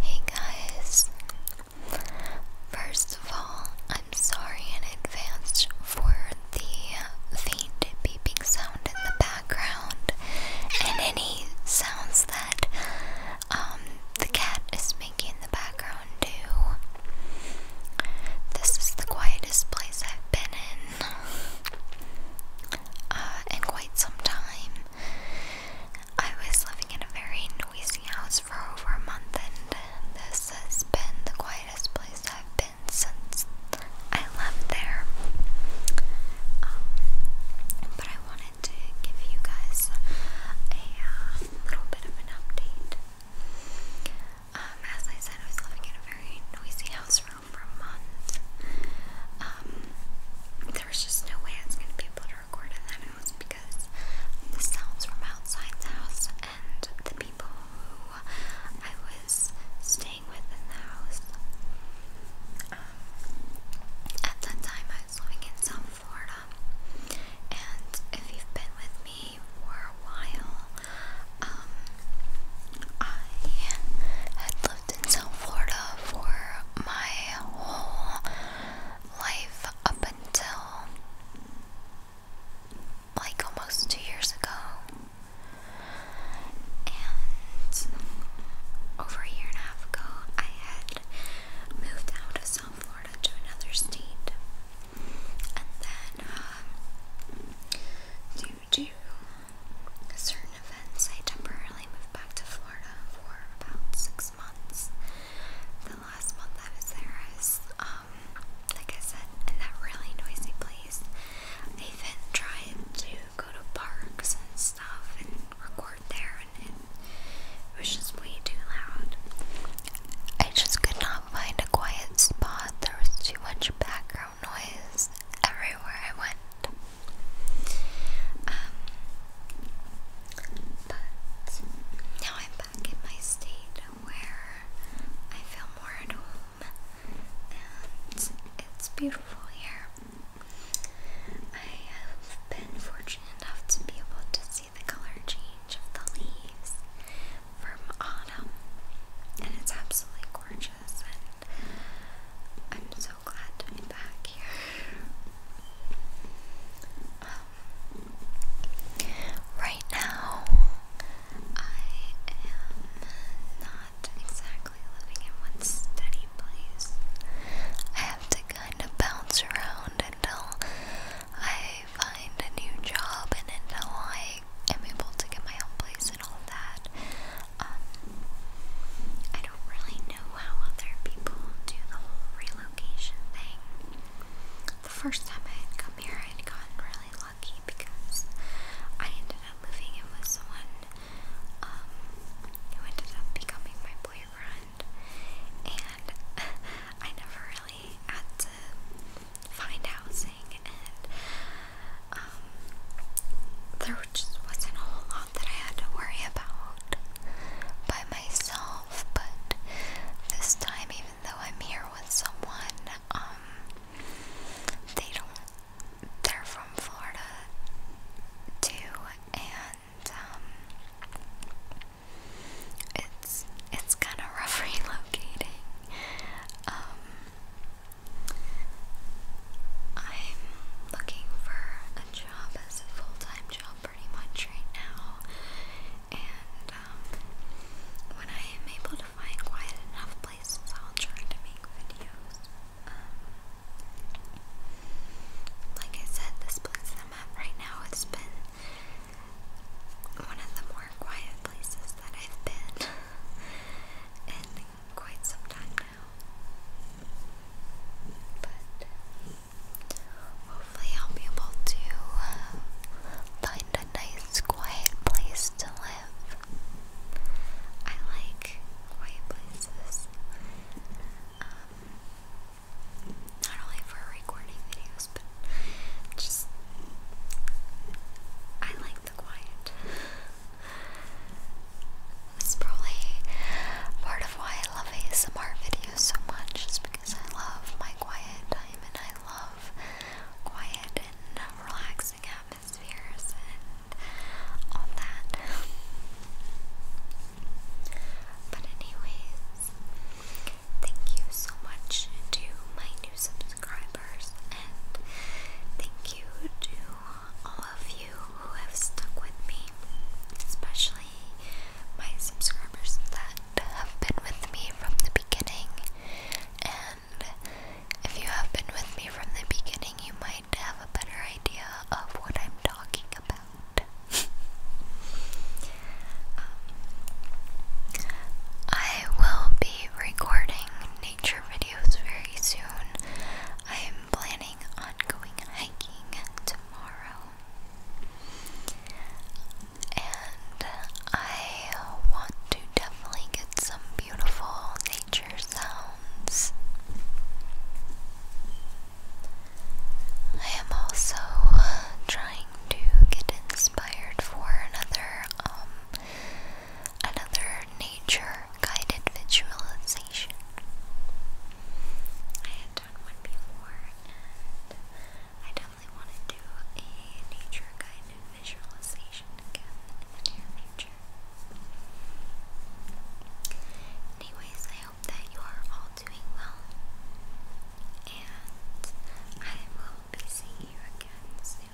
Hey guys! First of all, I'm sorry in advance for the faint beeping sound in the background and any sounds that um, the cat is making in the background, too. This is the quietest place I've been in in uh, quite some time. I was living in a very noisy house for over a month, and this has been the quietest place I've been since I left there. Um, but I wanted to give you guys a uh, little bit of an update. Um, as I said, I was living in a very noisy house room for a month. Um, there was just no way I was going to be able to record in that house because the sounds from outside the house and the people who I was staying with in the house. Um, at that time, I was living in South Florida, and if you've been with me for a while, um, I had lived in South Florida for my whole life up until like almost two years ago. And over a year and a half ago, I had moved out of South Florida to another state and then um, due to certain events, I temporarily moved back to Florida for about six months. The last month I was there is, um, like I said, in that really noisy place. I even tried to go to parks and stuff and record there, it was just way too loud. I just could not find a quiet spot. There was too much background noise everywhere I went. Um, but now I'm back in my state where I feel more at home and it's beautiful here. I have been fortunate enough to be able to see the color change of the leaves from autumn, and it's absolutely gorgeous. And I'm so glad to be back here. Um, right now, I am not exactly living in one steady place. I have to kind of bounce around until I find a new job and until I am able to get my own place and all that. Um, I don't really know how other people do the whole relocation thing. The first time I had come here, I had gotten really lucky because I ended up moving in with someone um, who ended up becoming my boyfriend, and I never really had to find housing, and um, there just wasn't a whole lot that I had to worry about by myself. But this time, even though I'm here with someone, um, they don't they're from Florida too, and um, it's it's kind of rough relocating. Um, I'm looking for a job as a full-time job pretty much right now, and um, when I am able to find quiet enough places I'll try to make videos. Um, like I said, this place I'm at right now has been one of the more quiet places that I've been in quite some time now. But hopefully I'll be able to uh, find a nice, quiet place to live. I like quiet places. Um, not only for recording videos, but just I like the quiet. It's probably part of why I love ASMR videos so much, is because I love my quiet time and I love quiet and relaxing atmospheres and all that. But anyways, thank you so much to my new subscribers and thank you to all of you who have stuck with me, especially my subscribers have been with me from the beginning. And if you have been with me from the beginning, you might have a better idea of what I'm talking about. Um, I will be recording nature videos very soon. I'm planning on going hiking tomorrow and I want to definitely get some beautiful nature sounds. I am also trying to get inspired for another um, another nature guided visualization done one before, and I definitely want to do a nature guided visualization again in the near future. Anyways, I hope that you are all doing well, and I will be seeing you again soon.